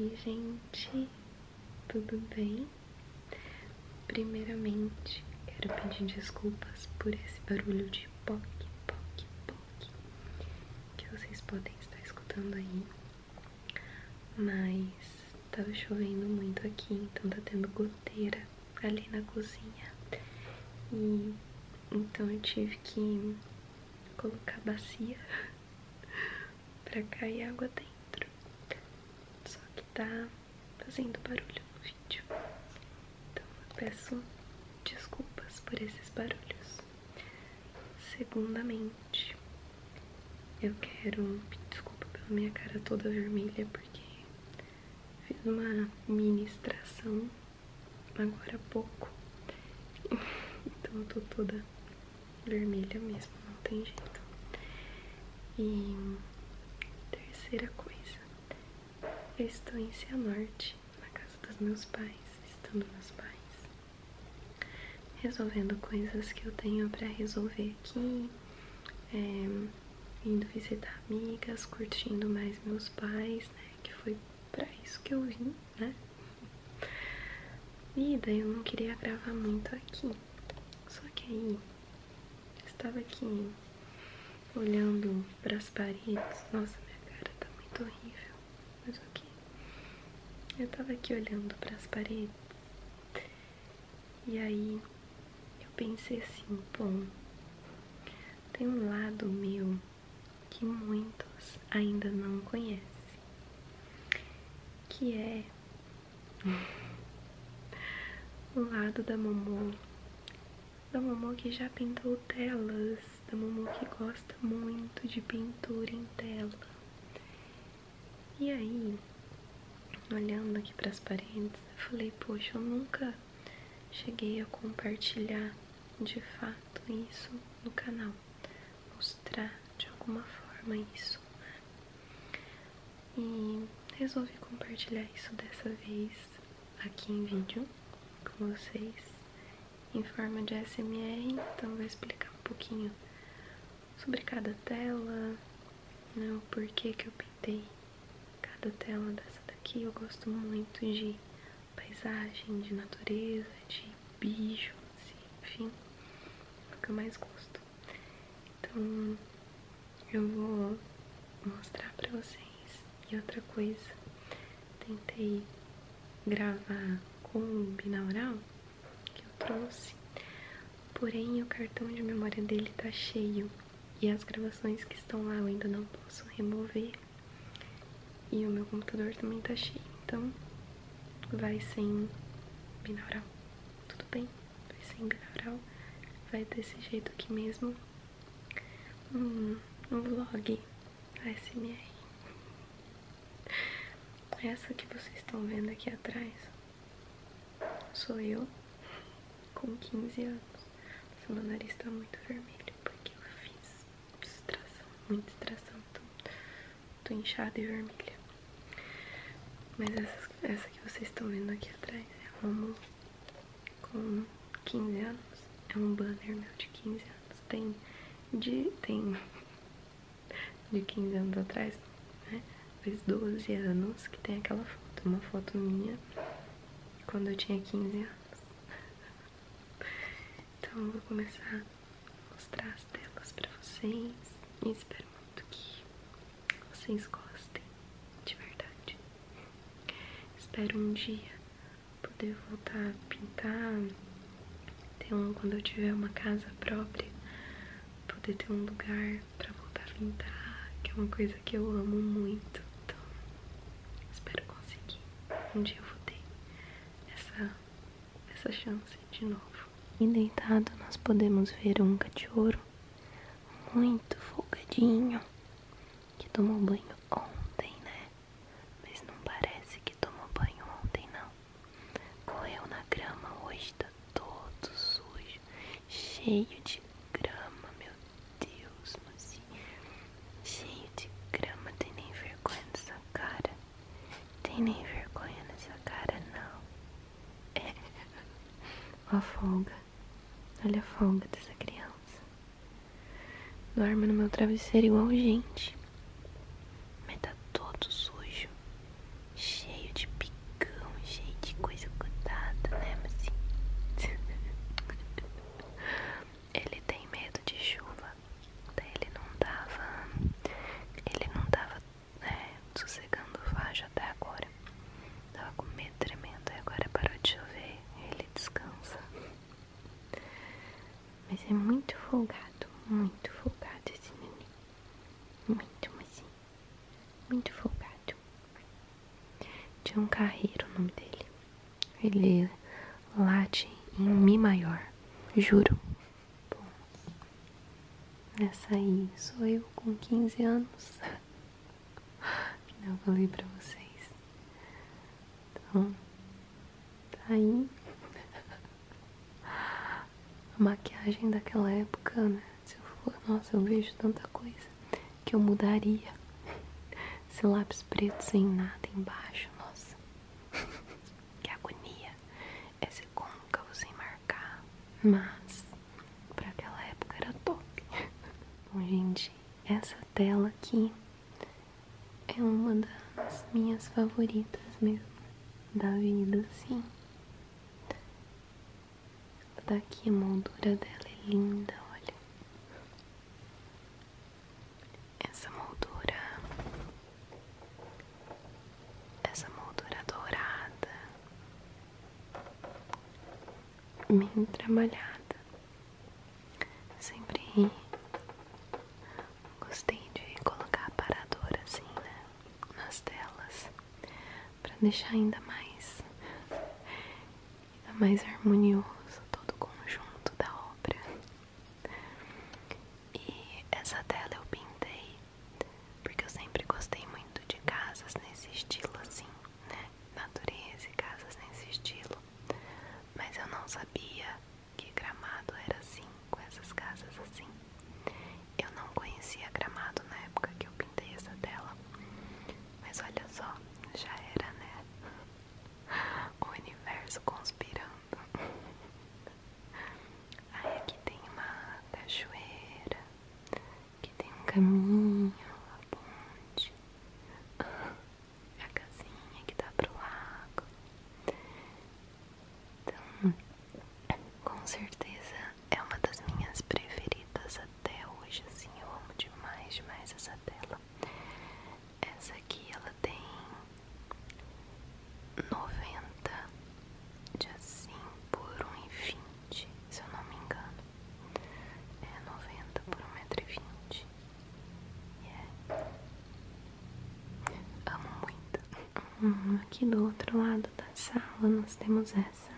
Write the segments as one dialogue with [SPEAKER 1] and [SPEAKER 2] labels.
[SPEAKER 1] Oi, gente, tudo bem? Primeiramente, quero pedir desculpas por esse barulho de poc, poc, poc que vocês podem estar escutando aí. Mas tava chovendo muito aqui, então tá tendo goteira ali na cozinha. então eu tive que colocar bacia pra cair água dentro. Só que tá fazendo barulho no vídeo. Então eu peço desculpas por esses barulhos. Segundamente eu quero pedir desculpa pela minha cara toda vermelha, porque fiz uma ministração agora há pouco. então eu tô toda vermelha mesmo, não tem jeito. E terceira coisa, eu estou em Cianorte, na casa dos meus pais, visitando meus pais resolvendo coisas que eu tenho para resolver aqui, é, indo visitar amigas, curtindo mais meus pais, né? Que foi para isso que eu vim, né? E daí eu não queria gravar muito aqui, só que aí estava aqui olhando para as paredes, nossa, minha cara tá muito horrível, mas o que? Eu estava aqui olhando para as paredes e aí eu pensei assim, bom, tem um lado meu que muitos ainda não conhecem, que é o lado da Momô, da Momô que já pintou telas, da Momô que gosta muito de pintura em tela. E aí, olhando aqui para as paredes, eu falei: Poxa, eu nunca cheguei a compartilhar de fato isso no canal, mostrar de alguma forma isso. E resolvi compartilhar isso dessa vez aqui em vídeo com vocês em forma de SMR, então vou explicar um pouquinho sobre cada tela, né, o porquê que eu pintei cada tela dessa daqui. Eu gosto muito de paisagem, de natureza, de bicho, assim, enfim, é o que eu mais gosto. Então, eu vou mostrar pra vocês. E outra coisa, tentei gravar com binaural, que eu trouxe. Porém, o cartão de memória dele tá cheio e as gravações que estão lá eu ainda não posso remover. E o meu computador também tá cheio, então vai sem binaural. Tudo bem, vai sem binaural. Vai desse jeito aqui mesmo. Um, um vlog ASMR. É essa que vocês estão vendo aqui atrás sou eu com 15 anos. Seu meu nariz tá muito vermelho porque eu fiz distração, muita distração. Tô, tô inchada e vermelha. Mas essa, que vocês estão vendo aqui atrás é uma com 15 anos. É um banner meu de 15 anos. Tem de. tem de 15 anos atrás, né? Faz 12 anos que tem aquela foto, uma foto minha quando eu tinha 15 anos. Então eu vou começar a mostrar as telas pra vocês e espero muito que vocês gostem, de verdade. Espero um dia poder voltar a pintar quando eu tiver uma casa própria, poder ter um lugar para voltar a pintar, que é uma coisa que eu amo muito. Então, espero conseguir. Um dia eu vou ter essa, essa chance de novo. E deitado, nós podemos ver um cachorro muito folgadinho que tomou banho ontem, né? mas não parece que tomou banho ontem, não. Correu na grama hoje, tá todo sujo, cheio de grama, meu Deus, mocinha. Cheio de grama, tem nem vergonha nessa cara. Tem nem vergonha nessa cara, não. É. Ó a folga. Olha a folga dessa criança. Dorme no meu travesseiro igual gente. Mas tá todo sujo, cheio de picão, cheio de coisa grudada, né? Mas ele tem medo de chuva. Daí tá? ele não tava. Ele não tava né, sossegando o facho até agora. Tava com medo tremendo. E agora parou de chover. Ele descansa. Mas é muito folgado, muito folgado esse menino, Muito, mas sim. Muito folgado. Tinha um carreiro o nome dele. Ele late em Mi maior. Juro. Bom, essa aí sou eu com 15 anos. Não falei pra vocês. Então, Tá aí. A maquiagem daquela época, né? Se eu for, nossa, eu vejo tanta coisa que eu mudaria. Esse lápis preto sem nada embaixo, nossa. que agonia. É ser côncavo sem marcar. Mas, pra aquela época era top. Bom, gente, essa tela aqui é uma das minhas favoritas mesmo da vida, sim Daqui tá a moldura dela é linda, olha. Essa moldura, essa moldura dourada, bem trabalhada. Eu sempre Gostei de colocar aparador assim, né? Nas telas. para deixar ainda mais. Ainda mais harmonioso todo o conjunto da obra. E essa tela eu pintei. Porque eu sempre gostei muito de casas nesse estilo assim, né? Natureza e casas nesse estilo. Mas eu não sabia que Gramado era assim, com essas casas assim. Eu não conhecia Gramado na época que eu pintei essa tela, mas olha só, já era, né? O universo conspirando. Aí aqui tem uma cachoeira, aqui tem um caminho, uma ponte. a casinha que dá tá pro lago. Então, com certeza é uma das minhas preferidas até hoje, assim, eu amo demais, demais essa tela. Essa aqui, ela tem 90 de assim por 1,20, se eu não me engano. É 90 por 1,20m. Yeah. Amo muito. Uhum. aqui do outro lado da sala nós temos essa,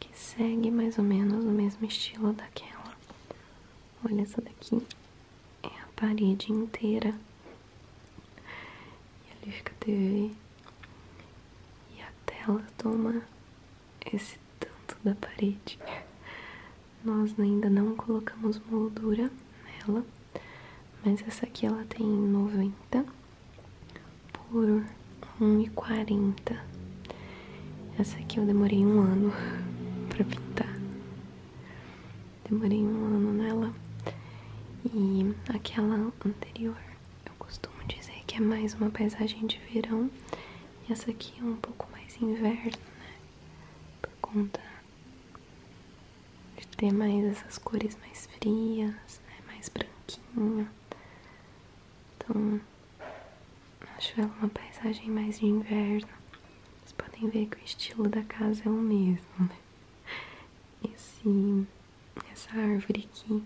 [SPEAKER 1] que segue mais ou menos o mesmo estilo daquela. Olha essa daqui, é a parede inteira. E ali fica a TV. E a tela toma esse tanto da parede. Nós ainda não colocamos moldura nela, mas essa aqui ela tem 90 por 1,40. Essa aqui eu demorei um ano para pintar. Demorei um ano nela. E aquela anterior eu costumo dizer que é mais uma paisagem de verão. E essa aqui é um pouco mais inverno, né? por conta de ter mais essas cores mais frias, né, mais branquinha, Então, acho ela uma paisagem mais de inverno. Vocês podem ver que o estilo da casa é o mesmo, né. Esse, essa árvore aqui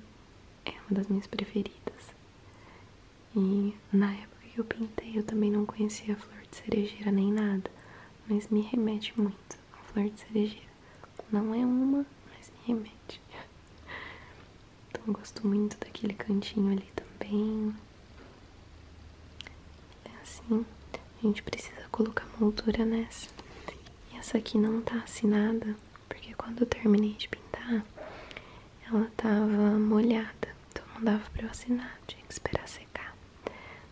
[SPEAKER 1] é uma das minhas preferidas. E na época que eu pintei, eu também não conhecia a flor de cerejeira nem nada, mas me remete muito à flor de cerejeira. Não é uma, mas me remete. Então eu gosto muito daquele cantinho ali também. É assim, a gente precisa colocar moldura nessa. E essa aqui não tá assinada, porque quando eu terminei de pintar, ela tava molhada, então não dava pra eu assinar, tinha que esperar secar.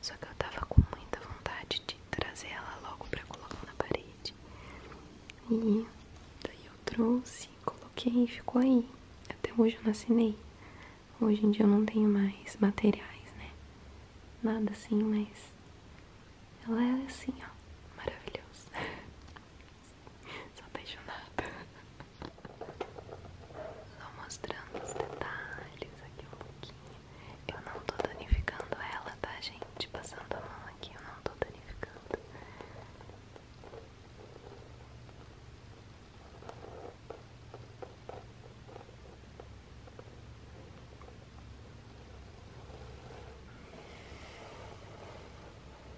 [SPEAKER 1] Só que eu tava com muita vontade de trazer ela logo pra colocar na parede. E daí eu trouxe, coloquei e ficou aí. Até hoje eu não assinei. Hoje em dia eu não tenho mais materiais, né? Nada assim, mas ela é assim, ó, maravilhosa. só Sou nada, Só mostrando os detalhes aqui um pouquinho. Eu não tô danificando ela, tá, gente? Passando a mão aqui, eu não tô danificando.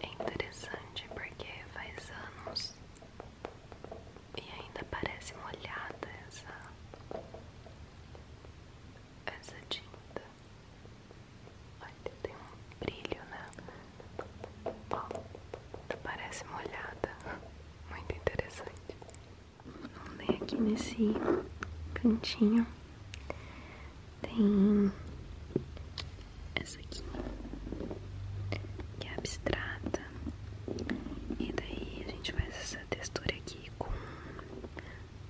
[SPEAKER 1] É interessante porque faz anos e ainda parece molhada essa essa tinta. Olha, tem um brilho né. Ó, parece molhada. Muito interessante. Vamos ler aqui nesse cantinho. Tem essa aqui, que é abstrata. E daí a gente faz essa textura aqui com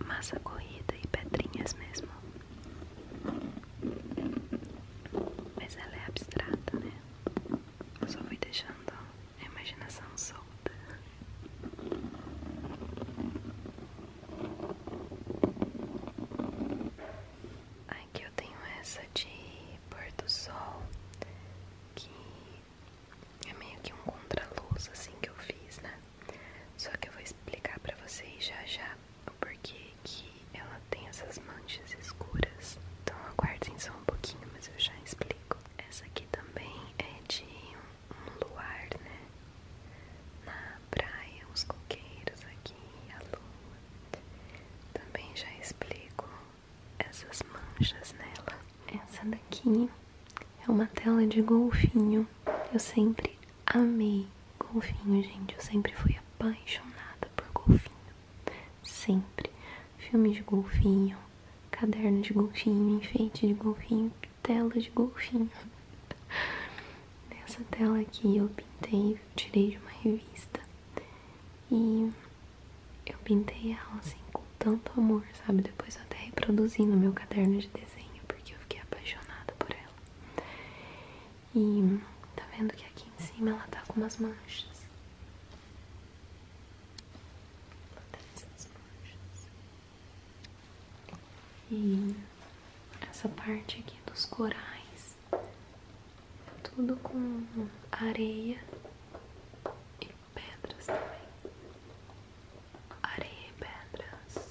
[SPEAKER 1] massa corrida e pedrinhas mesmo. Mas ela é abstrata, né? Eu só fui deixando a imaginação solta. Aqui eu tenho essa de pôr do sol, que é meio que um contraluz assim que eu fiz, né? Só que eu vou explicar pra vocês já já o porquê que ela tem essas manchas escuras. Então aguardem só um pouquinho, mas eu já explico. Essa aqui também é de um um luar, né? Na praia, os coqueiros aqui, a lua. Também já explico essas manchas nela. Essa daqui é uma tela de golfinho. Eu sempre amei golfinho, gente. Eu sempre fui apaixonada por golfinho. Sempre. filmes de golfinho, caderno de golfinho, enfeite de golfinho, tela de golfinho. Nessa tela aqui eu pintei, eu tirei de uma revista. E eu pintei ela assim com tanto amor, sabe? Depois eu até reproduzi no meu caderno de desenho, porque eu fiquei apaixonada por ela. E tá vendo que aqui em cima ela tá com umas manchas. Olha tá essas manchas. E essa parte aqui dos corais, tudo com areia e pedras também. Areia e pedras.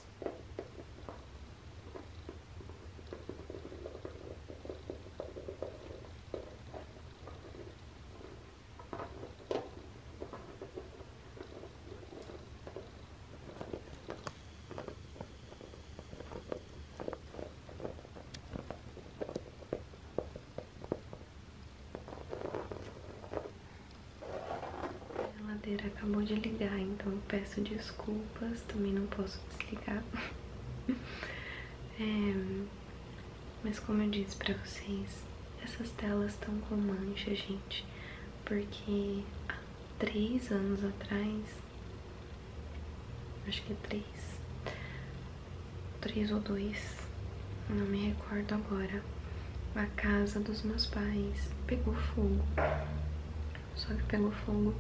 [SPEAKER 1] A ladeira acabou de ligar, então peço desculpas, também não posso desligar. É, mas como eu disse pra vocês, essas telas estão com mancha, gente porque há três anos atrás, acho que é três, três ou dois, não me recordo agora, a casa dos meus pais pegou fogo. Só que pegou fogo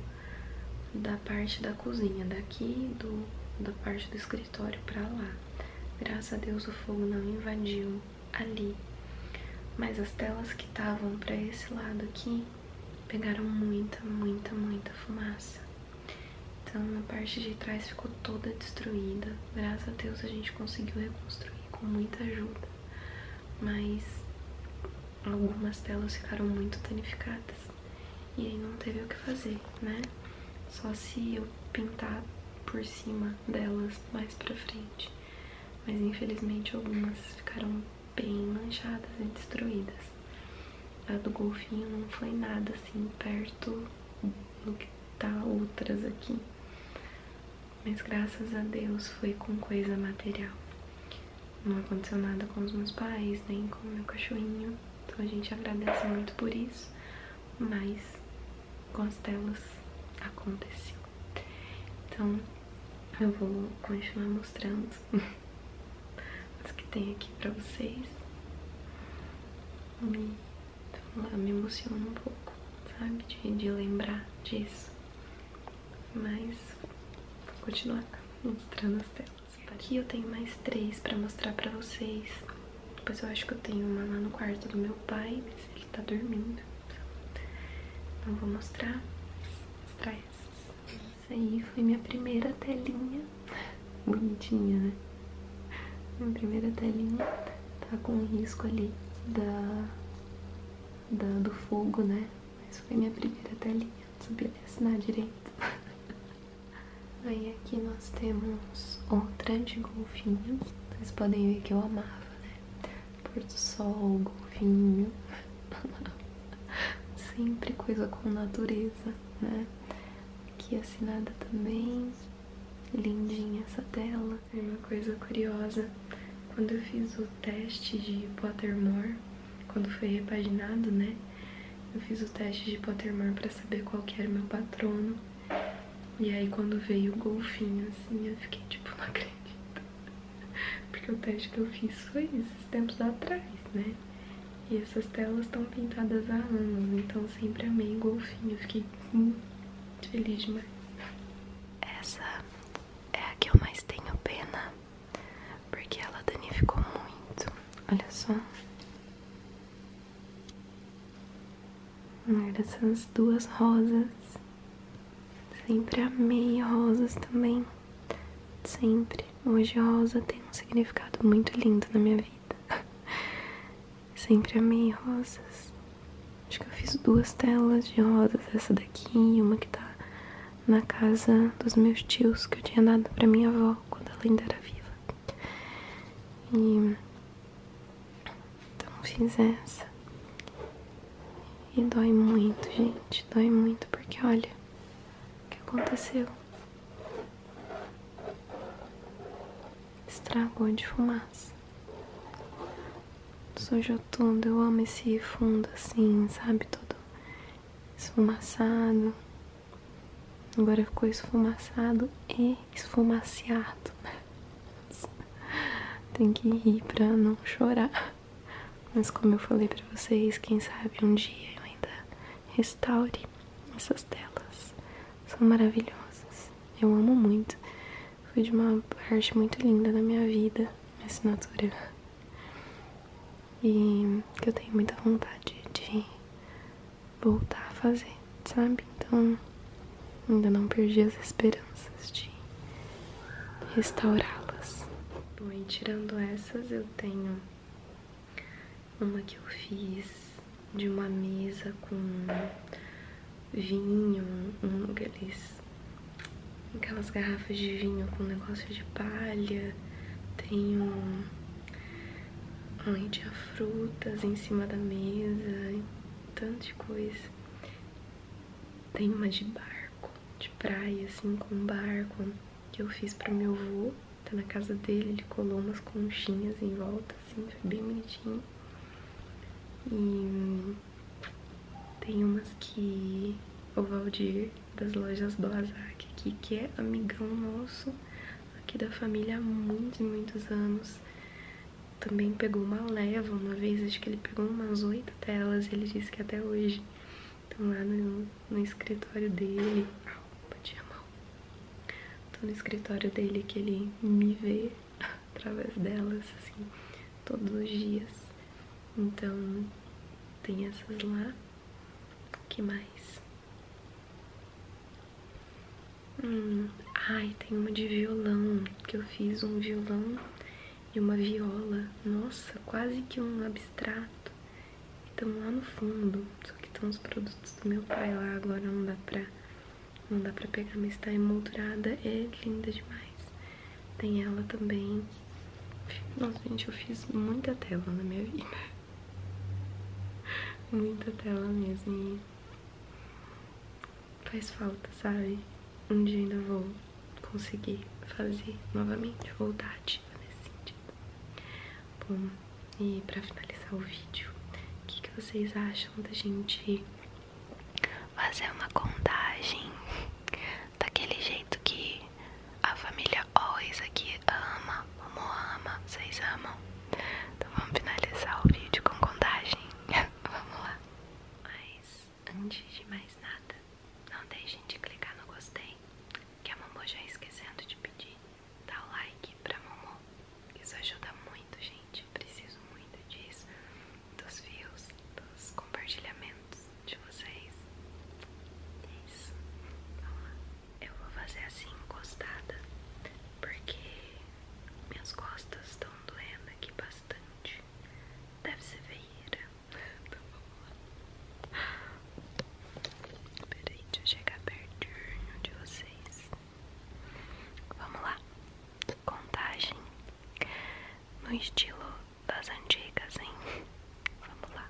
[SPEAKER 1] da parte da cozinha, daqui do, da parte do escritório para lá. Graças a Deus o fogo não invadiu ali. Mas as telas que estavam para esse lado aqui pegaram muita, muita, muita fumaça. Então a parte de trás ficou toda destruída. Graças a Deus a gente conseguiu reconstruir com muita ajuda. Mas algumas telas ficaram muito danificadas. E aí não teve o que fazer, né? Só se eu pintar por cima delas mais para frente mas infelizmente algumas ficaram bem manchadas e destruídas. A do golfinho não foi nada assim perto do que tá outras aqui, mas graças a Deus foi com coisa material. Não aconteceu nada com os meus pais, nem com o meu cachorrinho, então a gente agradece muito por isso, mas com as telas aconteceu. Então eu vou continuar mostrando as que tem aqui pra vocês. me emociona um pouco, sabe? De, de lembrar disso. Mas vou continuar mostrando as telas. Aqui eu tenho mais três pra mostrar pra vocês. Depois eu acho que eu tenho uma lá no quarto do meu pai, mas ele tá dormindo. Não vou mostrar. Mostrar essas. Isso aí foi minha primeira telinha. Bonitinha, né? Minha primeira telinha tá com um risco ali da, da, do fogo, né? Mas foi minha primeira telinha. Não sabia assinar direito. Aí aqui nós temos o de golfinho. Vocês podem ver que eu amarro né? Pôr do sol, golfinho. Sempre coisa com natureza, né? Aqui assinada também. Lindinha essa tela. E é uma coisa curiosa, quando eu fiz o teste de Pottermore, quando foi repaginado, né? Eu fiz o teste de Pottermore para saber qual que era o meu patrono. E aí quando veio o golfinho, assim, eu fiquei tipo, não acredito. Porque o teste que eu fiz foi esses tempos atrás, né? E essas telas estão pintadas há anos, então sempre amei o golfinho. fiquei muito feliz demais. Essa é a que eu mais tenho pena, porque ela danificou muito. Olha só. Olha essas duas rosas. Sempre amei rosas também. Sempre. Hoje rosa tem um significado muito lindo na minha vida. Sempre amei rosas. Acho que eu fiz duas telas de rosas, essa daqui e uma que tá na casa dos meus tios que eu tinha dado para minha avó quando ela ainda era viva. E então fiz essa. E dói muito, gente. Dói muito porque olha o que aconteceu. Estragou de fumaça. Sujou tudo. Eu amo esse fundo assim, sabe? Todo esfumaçado. Agora ficou esfumaçado e bem esfumaciado, né? Tem que ir pra não chorar. Mas como eu falei pra vocês, quem sabe um dia eu ainda restaure essas telas. São maravilhosas. Eu amo muito. Foi de uma parte muito linda da minha vida, minha assinatura. E que eu tenho muita vontade de voltar a fazer, sabe? Então, ainda não perdi as esperanças de restaurá-las. Bom, e tirando essas, eu tenho uma que eu fiz de uma mesa com vinho, um, aqueles, aquelas garrafas de vinho com negócio de palha. Tenho Ai, tinha frutas em cima da mesa, tanto de coisa. Tem uma de barco, de praia, assim, com um barco que eu fiz para meu avô. Tá na casa dele, ele colou umas conchinhas em volta, assim, foi bem bonitinho. E tem umas que o Valdir, das lojas do aqui, que é amigão nosso aqui da família há muitos e muitos anos. Também pegou uma leva uma vez, acho que ele pegou umas oito telas, ele disse que até hoje estão lá no, escritório dele. Au, bati a mão. no escritório dele que ele me vê através delas, assim, todos os dias. Então, tem essas lá. que mais? Hum, ai, tem uma de violão, que eu fiz um violão e uma viola. Nossa, quase que um abstrato. Estão lá no fundo, só que estão os produtos do meu pai lá, agora não dá pra, não dá pra pegar, mas está emoldurada, é linda demais. Tem ela também. Nossa, gente, eu fiz muita tela na minha vida. Muita tela mesmo e faz falta, sabe? Um dia ainda vou conseguir fazer novamente, voltar ativa nesse sentido. Bom, e para finalizar o vídeo, o que, vocês acham da gente fazer uma contagem daquele jeito que a família Always aqui ama? ama, ama, vocês amam. Então vamos finalizar o vídeo com contagem. vamos lá. Mas antes de mais nada, não deixem de clicar no gostei, que a Mamô já esquecendo de pedir. Dá o like pra Momo. Isso ajuda muito, gente. Preciso muito disso. Dos views, dos compartilhamentos de vocês. É isso. Vamos lá eu vou fazer assim encostada, porque minhas costas estão doendo aqui bastante. Deve ser feira. Então vamos lá. Tá Peraí, deixa eu chegar pertinho de vocês. Vamos lá. Contagem no estilo das antigas, hein? Vamos lá.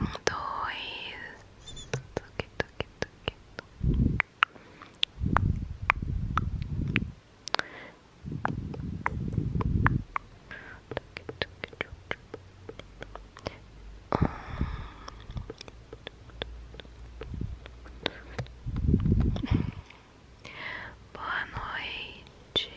[SPEAKER 1] um, dois, toque, toque, toque. Boa noite.